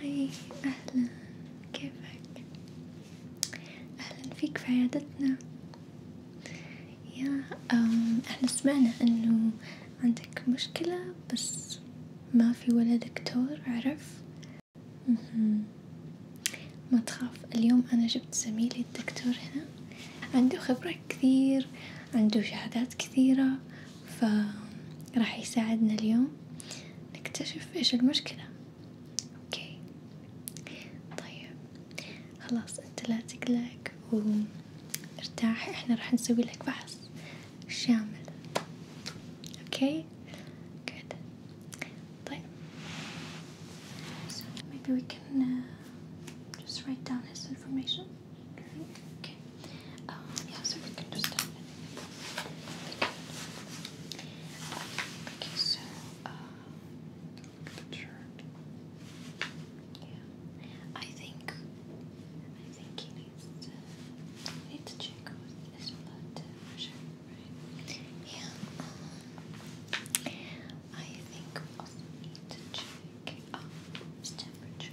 هاي أهلا كيفك؟ أهلا فيك في عيادتنا يا احنا سمعنا انه عندك مشكلة بس ما في ولا دكتور عرف مهم. ما تخاف اليوم أنا جبت زميلي الدكتور هنا عنده خبرة كثير عنده شهادات كثيرة فراح يساعدنا اليوم نكتشف إيش المشكلة أوكي طيب خلاص أنت لا تقلق وارتاح إحنا راح نسوي لك فحص شامل أوكي good طيب maybe we can uh, just write down his information okay Um, yeah, so we can just Okay, so, uh, Yeah, I think, I think he needs to, need to check his blood pressure, right? Yeah, um, I think we also need to check uh, his temperature.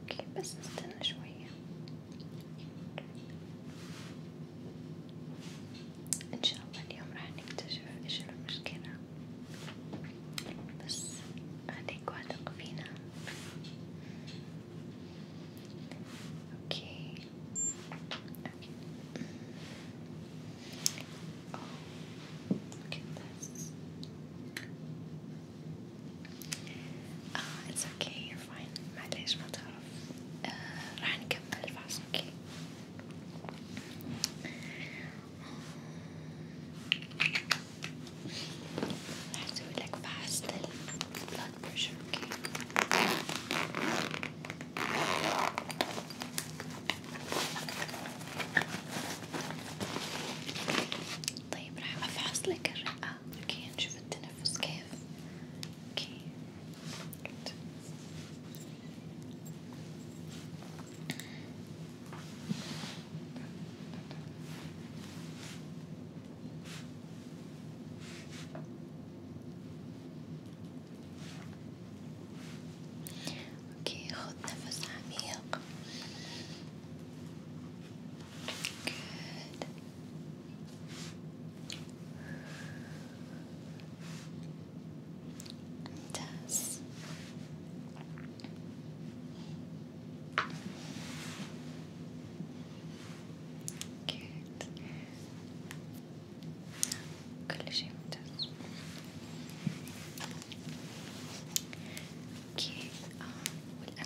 اوكي بس استنى شوية ان شاء الله اليوم راح نكتشف ايش المشكلة بس خليك واثق فينا اوكي اوكي Oh, look at this. Uh, it's okay, you're fine. معليش ما تعرف. Uh, راح نكمل الفحص اوكي. راح اسويلك فحص للبلاد بريشر اوكي. طيب راح افحص لك الرئة اوكي نشوف التنفس كيف اوكي Good. اوكي خذ نفس عميق Good. Does. Good. كل شيء ممتاز. اوكي آه. والآن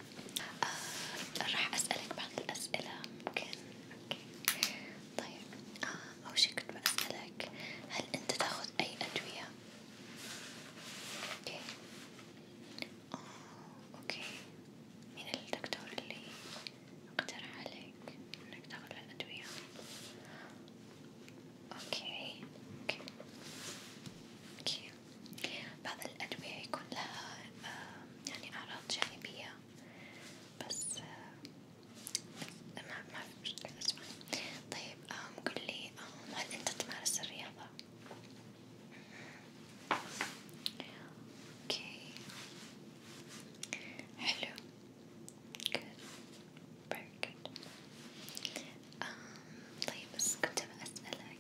آه راح أسألك بعض الأسئلة ممكن؟ أوكي طيب آه أول شي كنت بسألك هل أنت تاخذ أي أدوية؟ أوكي آه أوكي مين الدكتور اللي اقترح عليك إنك تاخذ الأدوية؟ أوكي أوكي أوكي بعض الأدوية يكون لها يعني أعراض جانبية بس ما ما في مشكلة اسمع طيب أم قولي أم هل أنت تمارس الرياضة؟ اوكي حلو good very good um, طيب بس كنت بسألك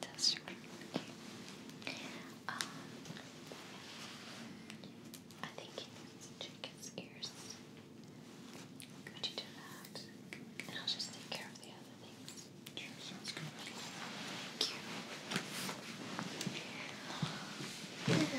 That's right. Okay. Um, I think he needs to check his Could you do that? And I'll just take care of the other things. Sure, sounds good. Thank you. Thanks.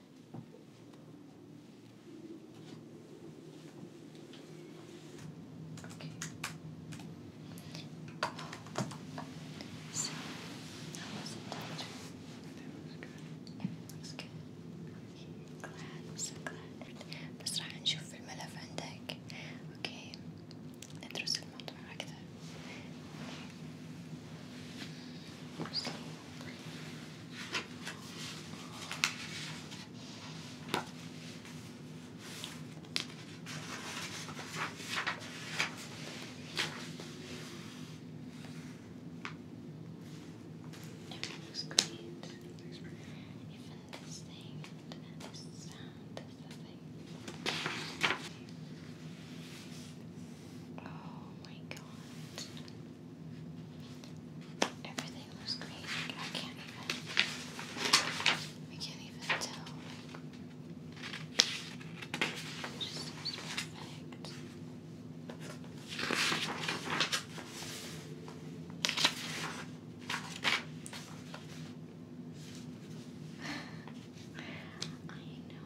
Okay. So, how was it, Doctor? It looks good. It looks Glad, I'm so glad. بس راح نشوف الملف عندك. Okay. ندرس الموضوع أكثر. Okay. It looks Even this thing, and this sound, this the thing. Oh my god. Everything looks great. I can't even I can't even tell. It just perfect. I know.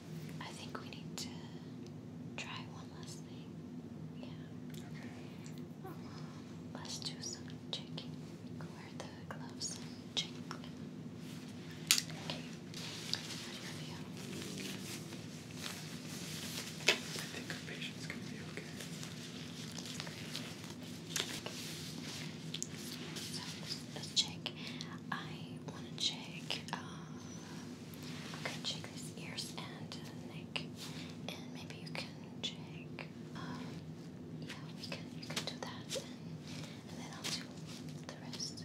I think we need to try one last thing. Yeah. Um, let's do some checking. Wear the gloves check. Okay. How do you feel? I think our patient's gonna be okay. let's, check. I wanna check. Uh, I'm gonna check these ears and neck, and maybe you can check. Um, yeah, we can. You can do that, and, then I'll do the rest.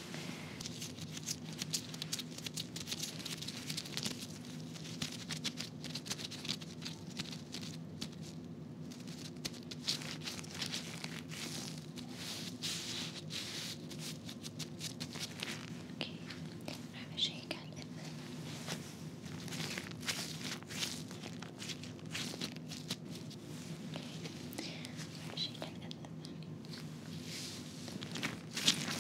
Okay, I have a shake at it. Okay, I have a shake at it.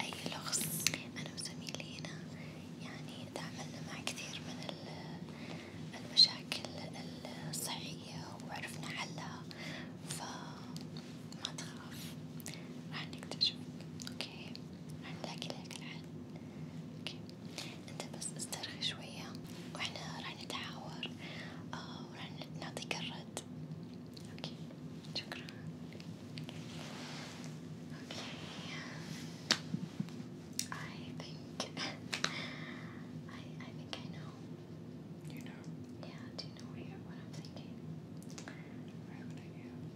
أي لغز أنا وزميلي هنا يعني تعاملنا مع كثير من المشاكل الصحية وعرفنا حلها فما تخاف راح نكتشف اوكي راح نلاقي لك الحل اوكي انت بس استرخي شوية واحنا راح نتعاور آه وراح نعطيك الرد Okay, chakra. Okay, I think I I think I know. You know. Yeah. Do you know what, I'm thinking?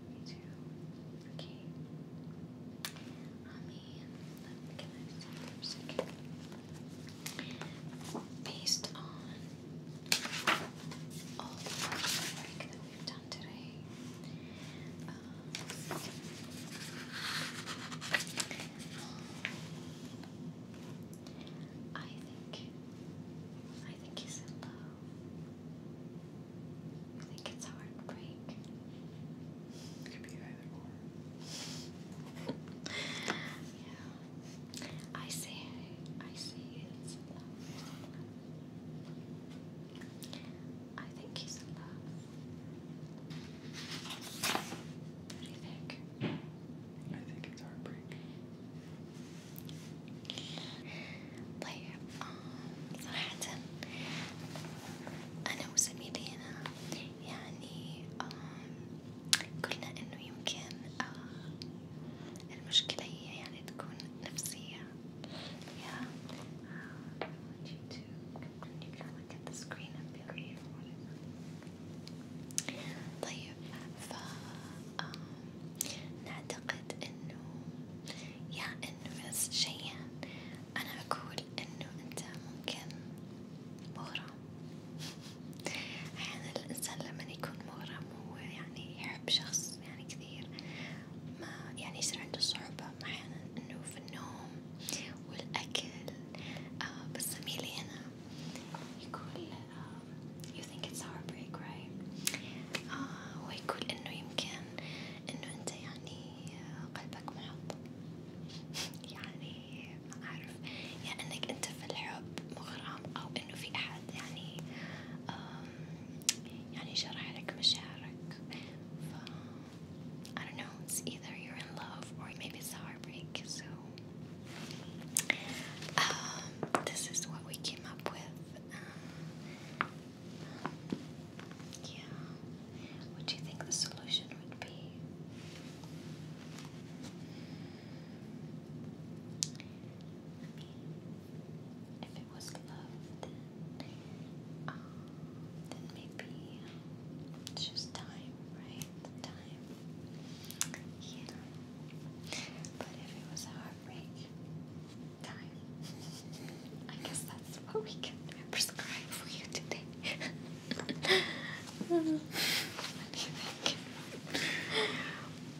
Me too. Okay. Based on all the work that we've done today. I think I think he's in love. I It could be either or. yeah. I say I say it's I think he's in love. What do you think? I think it's heartbreak. Like, um, Southampton. أنا أسمي لينا يعني قلنا إنه يمكن المشكلة هي يعني تكون نفسية yeah uh, I you to continue to look at the screen and be real طيب ف نعتقد انه يا انه بس شيئا انا اقول انه انت ممكن مغرم احيانا الانسان لما يكون مغرم هو يعني أحب شخص يعني كثير ما يعني يصير عنده صعوبة أحيانا إنه في النوم والأكل آه بس زميلي هنا يقول uh, you آه، إنه يمكن إنه أنت يعني آه، قلبك محط يعني ما أعرف يا إنك أنت في الحب مغرم أو I I don't know it's either you're in love or maybe it's a heartbreak so um, this is what we came up with um, yeah what do you think the solution would be? If it was love, um, then, maybe um, it's just time, right? Time. Yeah. But if it was heartbreak, time. I guess that's what we can prescribe for you today. what do you think?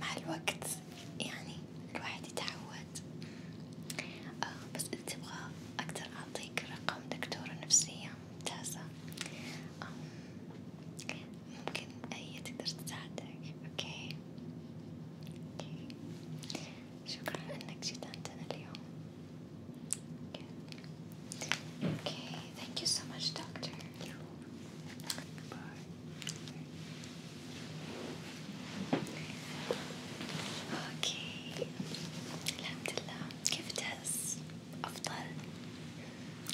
مع الوقت يعني الواحد يتعود آه بس إذا تبغى أقدر أعطيك رقم دكتورة نفسية ممتازة ممكن أي تقدر تساعدك أوكي أوكي شكرا إنك جيت عندنا اليوم Okay, thank you so much, doctor. Thank you. Bye. اوكي الحمد لله كيف تحس؟ أفضل؟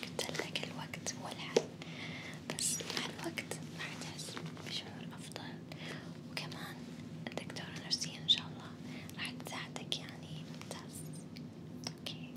قلت لك الوقت هو الحل بس مع الوقت راح تحس بشعور أفضل وكمان الدكتورة نفسية إن شاء الله راح تساعدك يعني ممتاز اوكي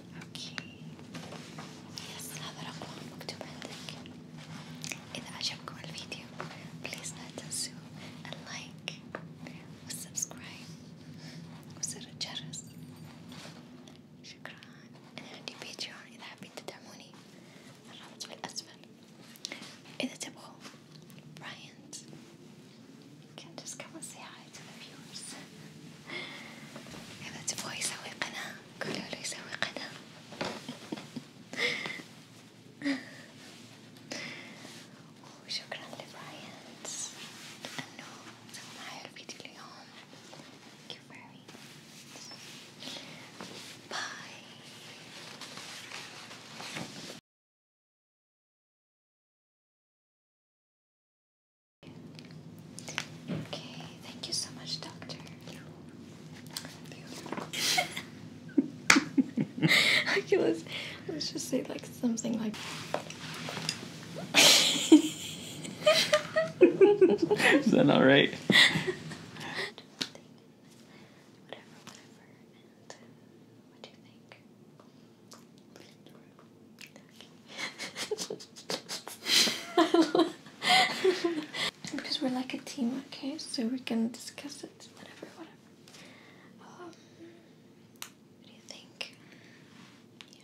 اوكي yes هذا رقمه مكتوب عندك إذا عجبكم الفيديو بليز لا تنسوا اللايك والسبسكرايب وزر الجرس شكرا أنا عندي بيتريون إذا حابين تدعموني الرابط في الأسفل إذا تبغوا براينت can just come and say hi to the viewers. هذا تبغوا يسوي قناة قولوا له يسوي قناة وشكرا لبراينز لأنه سوى معي الفيديو اليوم Thank you very much Bye Okay, thank you so much, Doctor. okay, let let's just say like something like. Is that not right? because we're like a team, okay? So we're gonna discuss it, whatever, whatever. Um, what do you think? Yeah.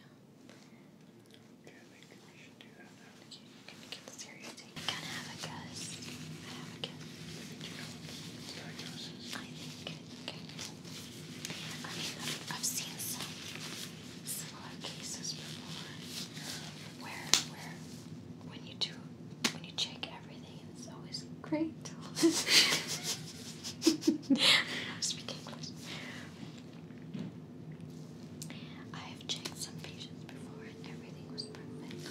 I think we should do that now. Okay, you're get serious thing. I kinda have a guess. I have a guess. I you know diagnosis I think. Okay. I have seen some similar cases before, where where when you do when you check everything, it's always great. I'm speaking English. I have checked some patients before, and everything was perfect,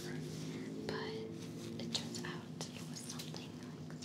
but it turns out it was something like